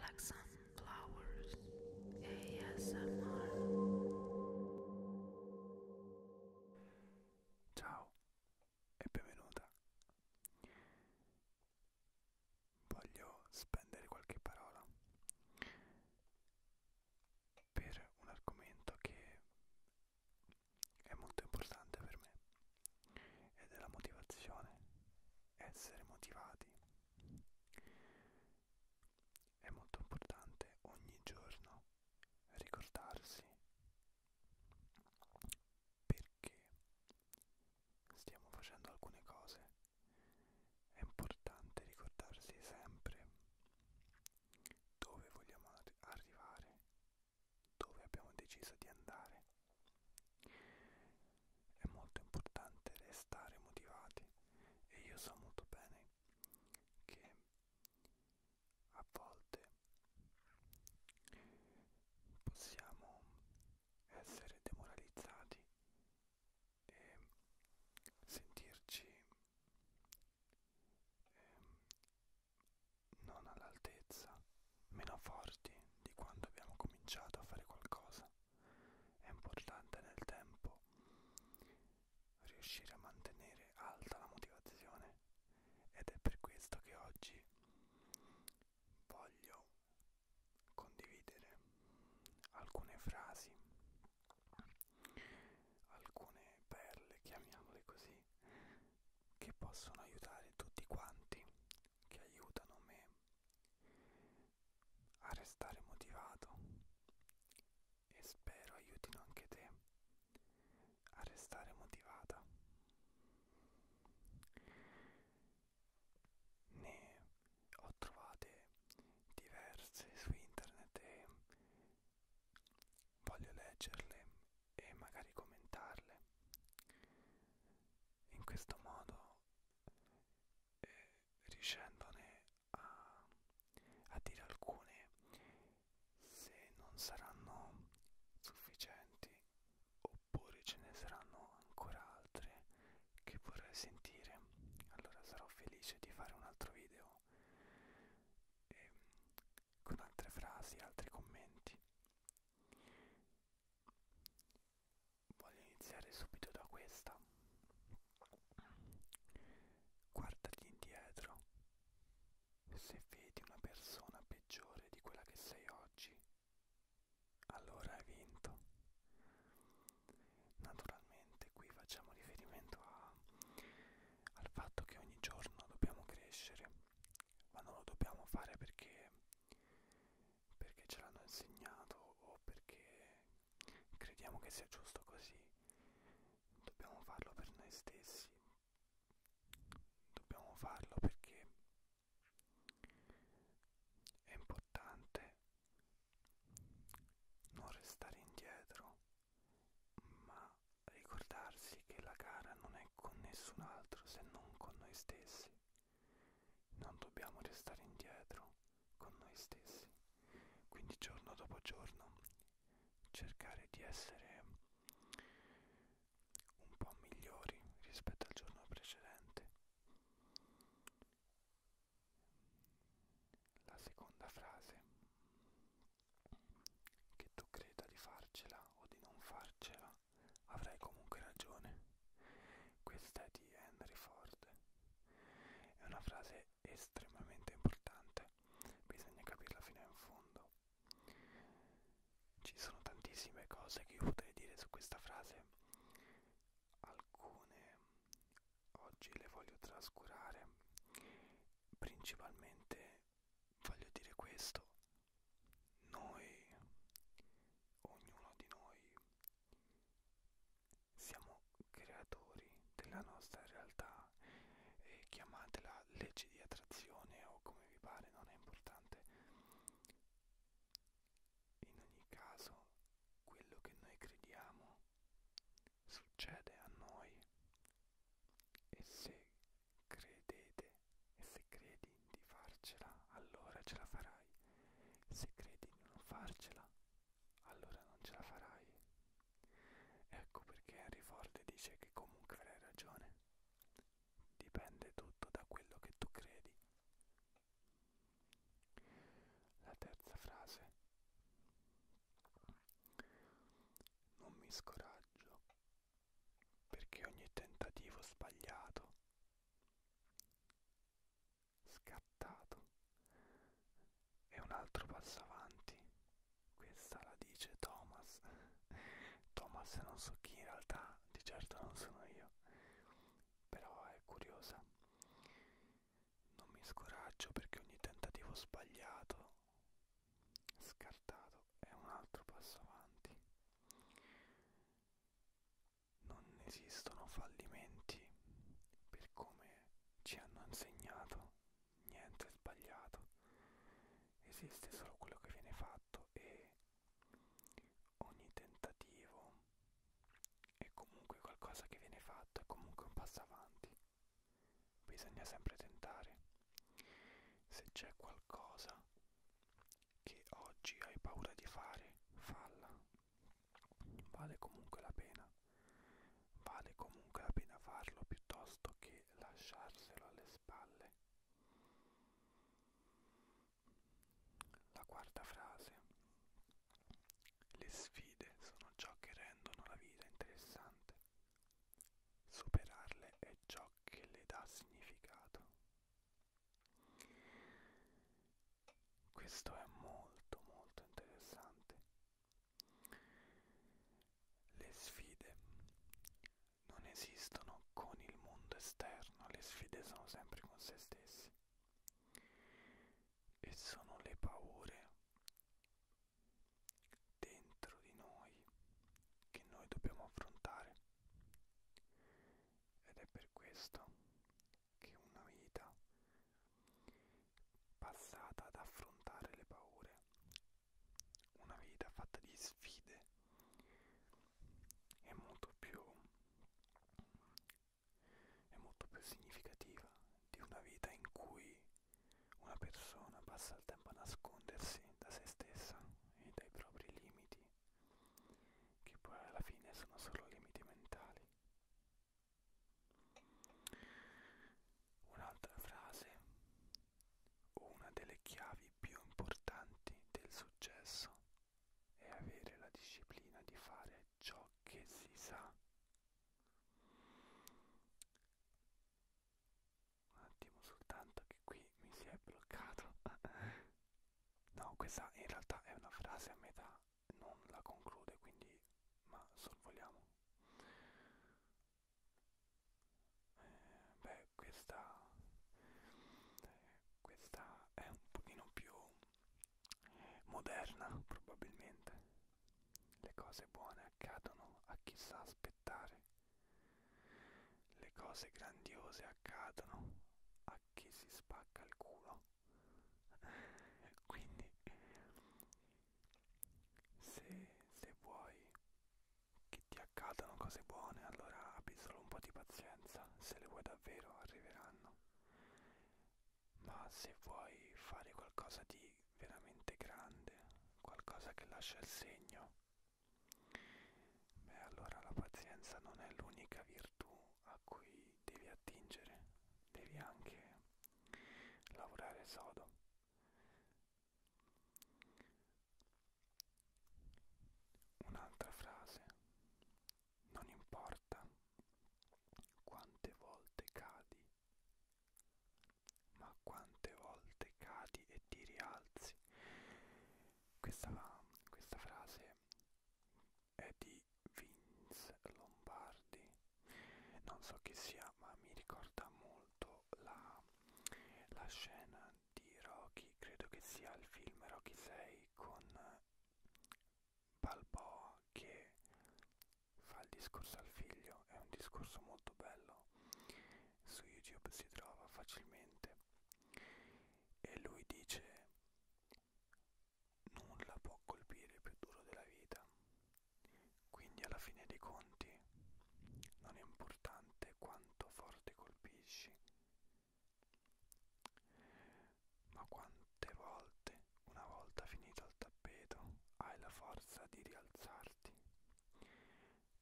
Like Sunflowers ASMR Ciao e benvenuta. Voglio spendere qualche parola per un argomento che è molto importante per me e della motivazione, essere motivati è molto importante ogni giorno ricordarsi perché stiamo facendo alcune cose è importante ricordarsi sempre dove vogliamo arrivare dove abbiamo deciso di andare. È molto importante restare motivati e io so molto bene che a volte possiamo essere demoralizzati e sentirci eh, non all'altezza, meno forti di quando abbiamo cominciato a fare qualcosa. È importante nel tempo riuscire a mantenere alta la motivazione ed è per questo che oggi voglio condividere alcune frasi, alcune perle, chiamiamole così, che possono aiutare tutti quanti che aiutano me a restare motivato e spero aiutino anche te a restare motivata. Ne ho trovate diverse su internet e voglio leggerle e magari commentarle. In questo modo eh, riuscendone a, a dire alcune se non saranno sufficienti oppure ce ne saranno ancora altre che vorrei sentire allora sarò felice di fare un altro video e, ehm, con altre frasi altri commenti Voglio iniziare subito da questa. Guardati indietro. Se vedi una persona peggiore di quella che sei oggi, allora hai vinto. Naturalmente qui facciamo riferimento a, al fatto che ogni giorno dobbiamo crescere ma non lo dobbiamo fare perché, perché ce l'hanno insegnato o perché crediamo che sia giusto così. Dobbiamo farlo per noi stessi. Dobbiamo farlo perché è importante non restare indietro, ma ricordarsi che la gara non è con nessun altro se non con noi stessi. Non dobbiamo restare indietro con noi stessi. Quindi giorno dopo giorno cercare di essere un po' migliori rispetto al giorno precedente. La seconda frase, che tu creda di farcela o di non farcela, avrei comunque ragione. Questa è di Henry Ford. È una frase estremamente importante, bisogna capirla fino in fondo. Ci sono tantissime cose che io potrei dire su questa frase, alcune oggi le voglio trascurare, principalmente voglio dire questo, noi, ognuno di noi, siamo creatori della nostra realtà e chiamatela legge di attrazione o come vi pare, non è importante. In ogni caso, quello che noi crediamo succede a noi e se credete e se credi di farcela allora ce la farai se credi di non farcela allora non ce la farai ecco perché Henry Ford dice che comunque avrai ragione dipende tutto da quello che tu credi la terza frase non mi scoraggio perché ogni tentativo sbagliato, scattato, è un altro passo avanti. Questa la dice Thomas. Thomas non so chi in realtà, di certo non sono io, però è curiosa. Non mi scoraggio perché ogni tentativo sbagliato scartato è un altro passo avanti. Non esistono fallimenti per come ci hanno insegnato, niente è sbagliato, esiste solo quello che viene fatto e ogni tentativo è comunque qualcosa che viene fatto, è comunque un passo avanti bisogna sempre tentare. Se c'è qualcosa che oggi hai paura di fare, falla. Vale comunque la pena. Vale comunque la pena farlo piuttosto che lasciarselo alle spalle. La quarta frase. Le sfide sono ciò che rendono la vita interessante. Superarle è ciò che le dà significato. Questo è molto molto interessante. Le sfide non esistono con il mondo esterno, le sfide sono sempre con se stessi. E sono le paure dentro di noi che noi dobbiamo affrontare ed è per questo che una vita passata ad affrontare le paure una vita fatta di sfide è molto più è molto più significativa di una vita in cui una persona passa il tempo a nascondersi da se stessa e dai propri limiti, che poi alla fine sono solo limiti mentali. Un'altra frase, una delle chiavi più importanti del successo è avere la disciplina di fare ciò che si sa un attimo soltanto che qui mi si è bloccato no questa in realtà è una frase a metà non la conclude quindi ma sorvoliamo eh, beh questa questa è un pochino più eh, moderna probabilmente le cose buone accadono a chi sa aspettare. Le cose grandiose accadono a chi si spacca il culo. Quindi, se, se vuoi che ti accadano cose buone, allora abbi solo un po' di pazienza. Se le vuoi davvero, arriveranno. Ma se vuoi fare qualcosa di veramente grande, qualcosa che lascia il segno. Beh, allora la pazienza non è l'unica virtù a cui devi attingere, devi anche lavorare sodo. Un'altra frase, non importa quante volte cadi, ma quante volte cadi e ti rialzi. Questa, questa frase è di Vince Lombardi, non so chi sia, ma mi ricorda molto la, la scena di Rocky, credo che sia il film Rocky 6 con Balboa che fa il discorso al figlio, è un discorso molto bello, su YouTube si trova facilmente e lui dice nulla può colpire più duro della vita, quindi alla fine dei conti non è importante quanto forte colpisci, ma quante volte una volta finito il tappeto, hai la forza di rialzarti.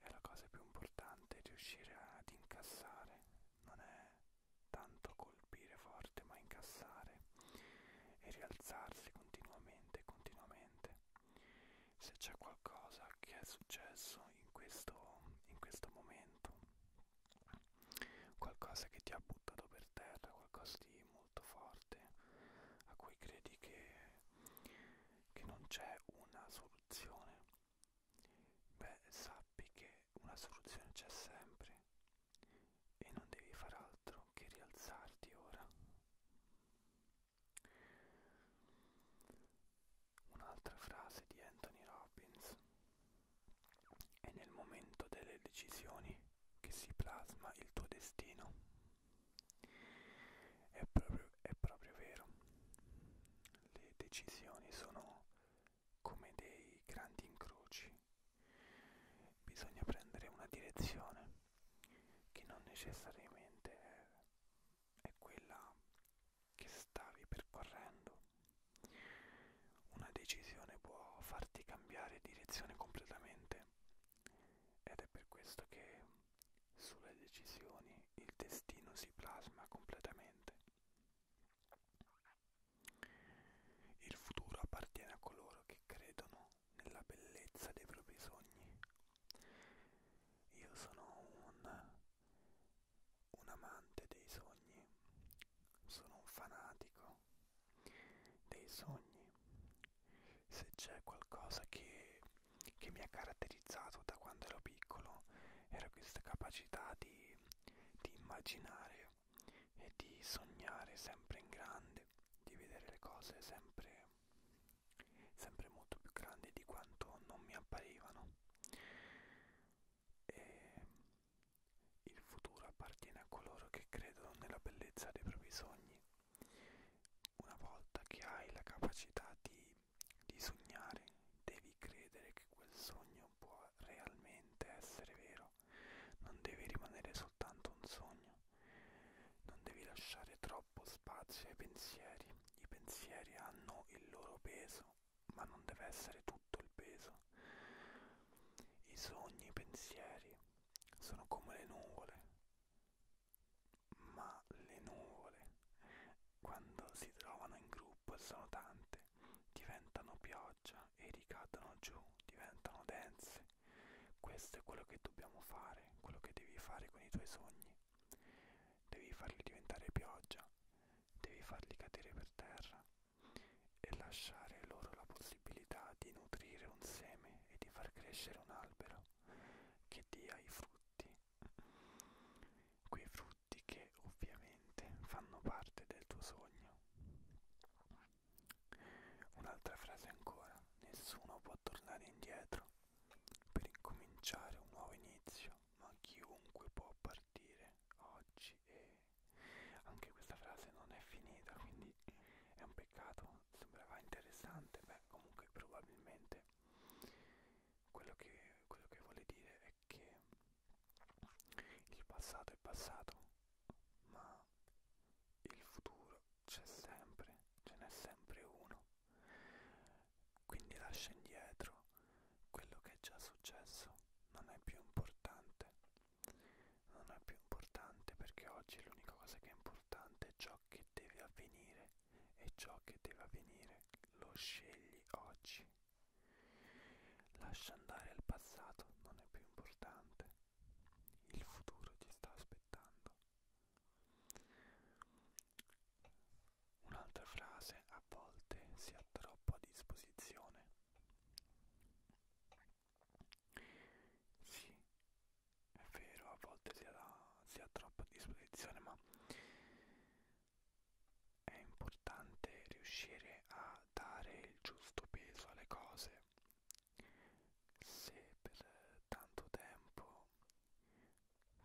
E la cosa più importante è riuscire ad incassare, non è tanto colpire forte, ma incassare e rialzarsi continuamente, continuamente. Se c'è qualcosa che è successo in questo, in questo momento, qualcosa che ti ha buttato per terra, qualcosa di molto forte a cui credi che, che non c'è una soluzione beh sappi che una soluzione c'è sempre e non devi far altro che rialzarti ora un'altra frase di Anthony Robbins è nel momento delle decisioni che si plasma il tuo destino. È proprio, è proprio vero, le decisioni sono come dei grandi incroci, bisogna prendere una direzione che non necessariamente è, è quella che stavi percorrendo. Una decisione può farti cambiare direzione completamente ed è per questo che sulle decisioni il destino si plasma completamente. Il futuro appartiene a coloro che credono nella bellezza dei propri sogni. Io sono un, un amante dei sogni, sono un fanatico dei sogni, se c'è qualcosa che, che mi ha caratterizzato da quando ero piccolo era questa capacità di, di immaginare e di sognare sempre in grande, di vedere le cose sempre, sempre molto più grandi di quanto non mi apparivano. E il futuro appartiene a coloro che credono nella bellezza dei propri sogni. Una volta che hai la capacità di, di sognare, devi credere che quel sogno può realmente essere vero. Non devi rimanere soltanto un sogno. Non devi lasciare troppo spazio ai pensieri. I pensieri hanno il loro peso, ma non deve essere tutto il peso. I sogni, i pensieri sono come le nuvole, ma le nuvole quando si trovano in gruppo e sono tante diventano pioggia e ricadono giù, diventano dense. Questo è quello che dobbiamo fare, quello che devi fare con i tuoi sogni. Devi farli diventare pioggia, devi farli cadere per terra e lasciare loro la possibilità di nutrire un seme e di far crescere un albero che dia i frutti, quei frutti che ovviamente fanno parte del tuo sogno. Un'altra frase ancora, nessuno può tornare indietro per incominciare un nuovo inizio, ma chiunque può partire oggi amici e eh, anche questa frase non è finita quindi è un peccato sembrava interessante beh comunque probabilmente quello che, quello che vuole dire è che il passato è passato ma il futuro c'è sempre ce n'è sempre uno quindi lascia indietro quello che è già successo non è più importante non è più importante perché oggi l'unica cosa che è importante è ciò che deve avvenire e ciò che deve avvenire lo scegli oggi. Lascia andare il passato, non è più importante. Il futuro ti sta aspettando. Un'altra frase, a volte si ha troppo a disposizione. Sì, è vero, a volte si ha, la, si ha troppa disposizione, ma è importante riuscire a dare il giusto peso alle cose. Se per tanto tempo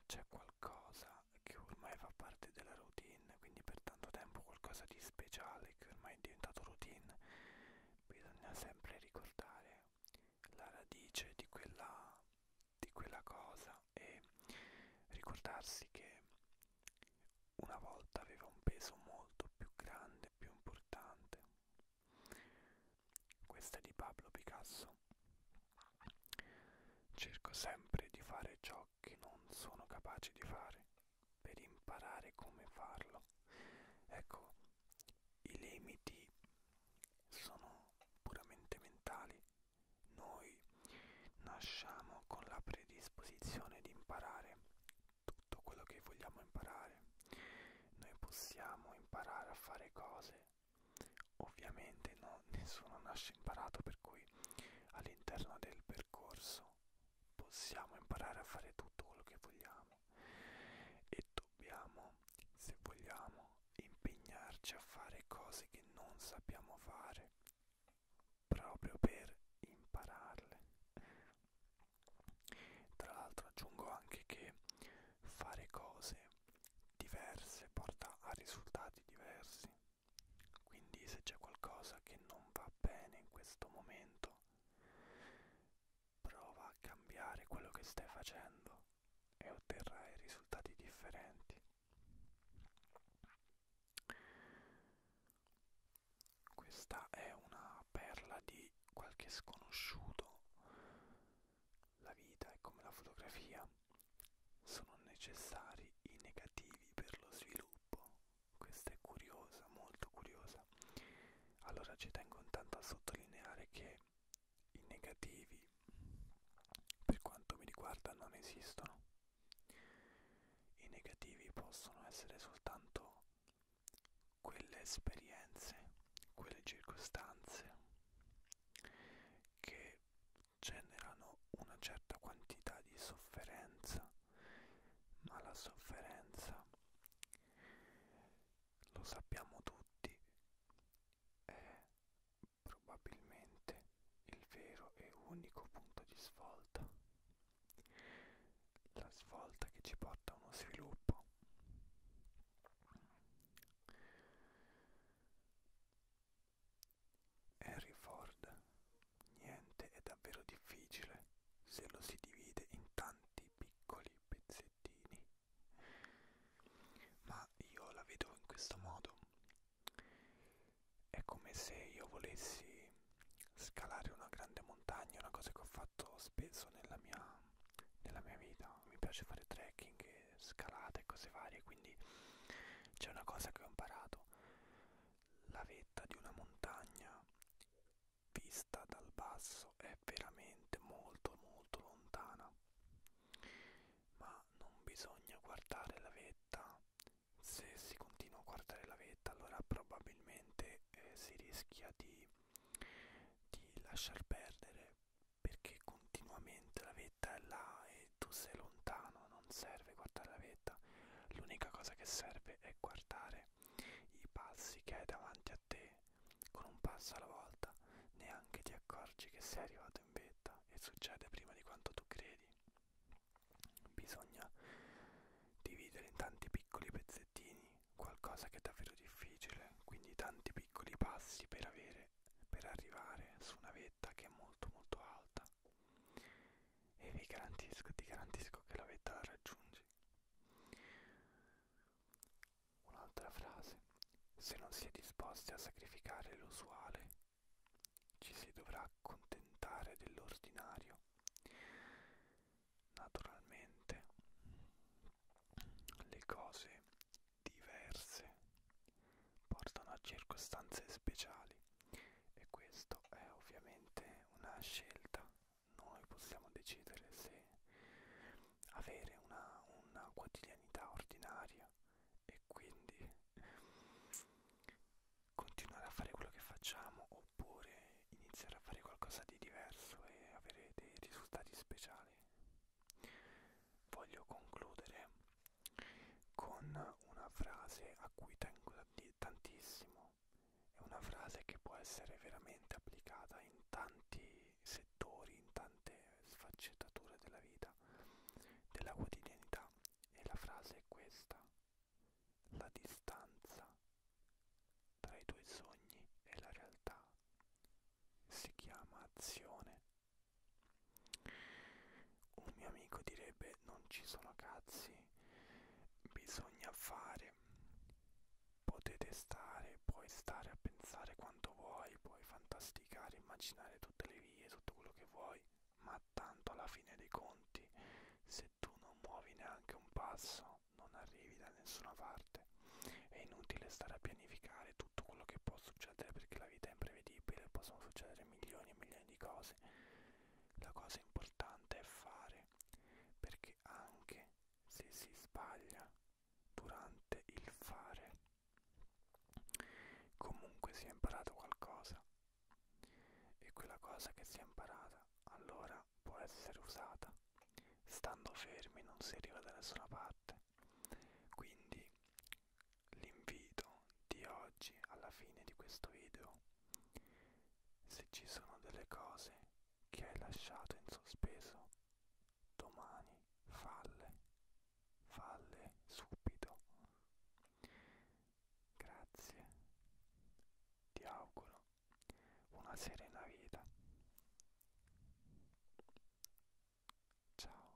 c'è qualcosa che ormai fa parte della routine, quindi per tanto tempo qualcosa di speciale che ormai ormai è diventato routine, bisogna sempre ricordare la radice di quella, di quella cosa e ricordarsi che una volta aveva un peso molto più grande, più importante. Questa è di Pablo Picasso. Cerco sempre di fare ciò ciò che non sono capace di fare per imparare come farlo. Ecco, i limiti sono puramente mentali. Noi nasciamo con la predisposizione di imparare tutto quello che vogliamo imparare. Noi possiamo imparare a fare cose. Ovviamente no, nessuno nasce imparato, per cui all'interno del percorso percorso possiamo imparare a fare tutto quello che vogliamo e dobbiamo, se vogliamo, impegnarci a fare cose che non sappiamo fare proprio per impararle. Tra l'altro aggiungo anche che fare cose diverse porta a risultati diversi quindi se c'è qualcosa che non va bene in questo momento, prova a cambiare quello che stai facendo e otterrai risultati differenti. Questa è una perla di qualche sconosciuto. La vita è come la fotografia. Sono necessari i negativi per lo sviluppo questa è curiosa, molto curiosa. Allora ci tengo intanto a sottolineare che i negativi, per quanto mi riguarda, non esistono. I negativi possono essere soltanto quelle esperienze, quelle circostanze che generano una certa quantità di sofferenza ma la sofferenza lo sappiamo tutti è probabilmente il vero e unico punto di svolta la svolta che ci porta a uno sviluppo Henry Ford. Niente è davvero difficile se lo si divide in tanti piccoli pezzettini. Ma io la vedo in questo modo. È come se io volessi scalare una grande montagna, una cosa che ho fatto spesso nella mia, nella mia vita. Mi piace fare trekking, scalate e cose varie, quindi c'è una cosa che ho imparato. La vetta di una montagna vista dal basso è veramente molto molto lontana, ma non bisogna guardare la vetta. Se si continua a guardare la vetta allora probabilmente eh, si rischia di, di lasciar perdere perché continuamente la vetta è là e se tu sei lontano non serve guardare la vetta, l'unica cosa che serve è guardare i passi che hai davanti a te, con un passo alla volta, neanche ti accorgi che sei arrivato in vetta e succede prima di quanto tu credi. Bisogna dividere in tanti piccoli pezzettini qualcosa che è davvero difficile, quindi tanti piccoli passi per avere per arrivare su una vetta che è molto molto alta e vi garantisco, ti garantisco che la vetta la raggiungi. Un'altra frase, se non si è disposti a sacrificare l'usuale, ci si dovrà accontentare dell'ordinario. Naturalmente le cose diverse portano a circostanze speciali e questo è ovviamente una scelta. Noi possiamo decidere se avere una, una quotidianità ordinaria e quindi continuare a fare quello che facciamo oppure iniziare a fare qualcosa di diverso e avere dei risultati speciali. Voglio concludere con una frase a cui tengo tantissimo. È una frase che può essere veramente applicata in tanti settori, in tante sfaccettature della vita, della quotidianità. E la frase è questa. La distanza tra i tuoi sogni e la realtà si chiama azione. Un mio amico direbbe non ci sono cazzi, bisogna fare, potete stare, puoi stare a pensare quanto vuoi, puoi fantasticare, immaginare tutte le vie, tutto quello che vuoi, ma tanto alla fine dei conti, se tu non muovi neanche un passo, non arrivi da nessuna parte. È inutile stare a pianificare tutto quello che può succedere perché la vita è imprevedibile, possono succedere milioni e milioni milioni di cose. La cosa importante è fare, perché anche se si sbaglia durante il fare, comunque si è imparato qualcosa e quella cosa che si è imparata allora può essere usata. Stando fermi non si arriva da nessuna parte. Quindi l'invito di oggi alla fine di questo video se ci sono delle cose che hai lasciato in sospeso domani falle falle subito grazie ti auguro una serena vita ciao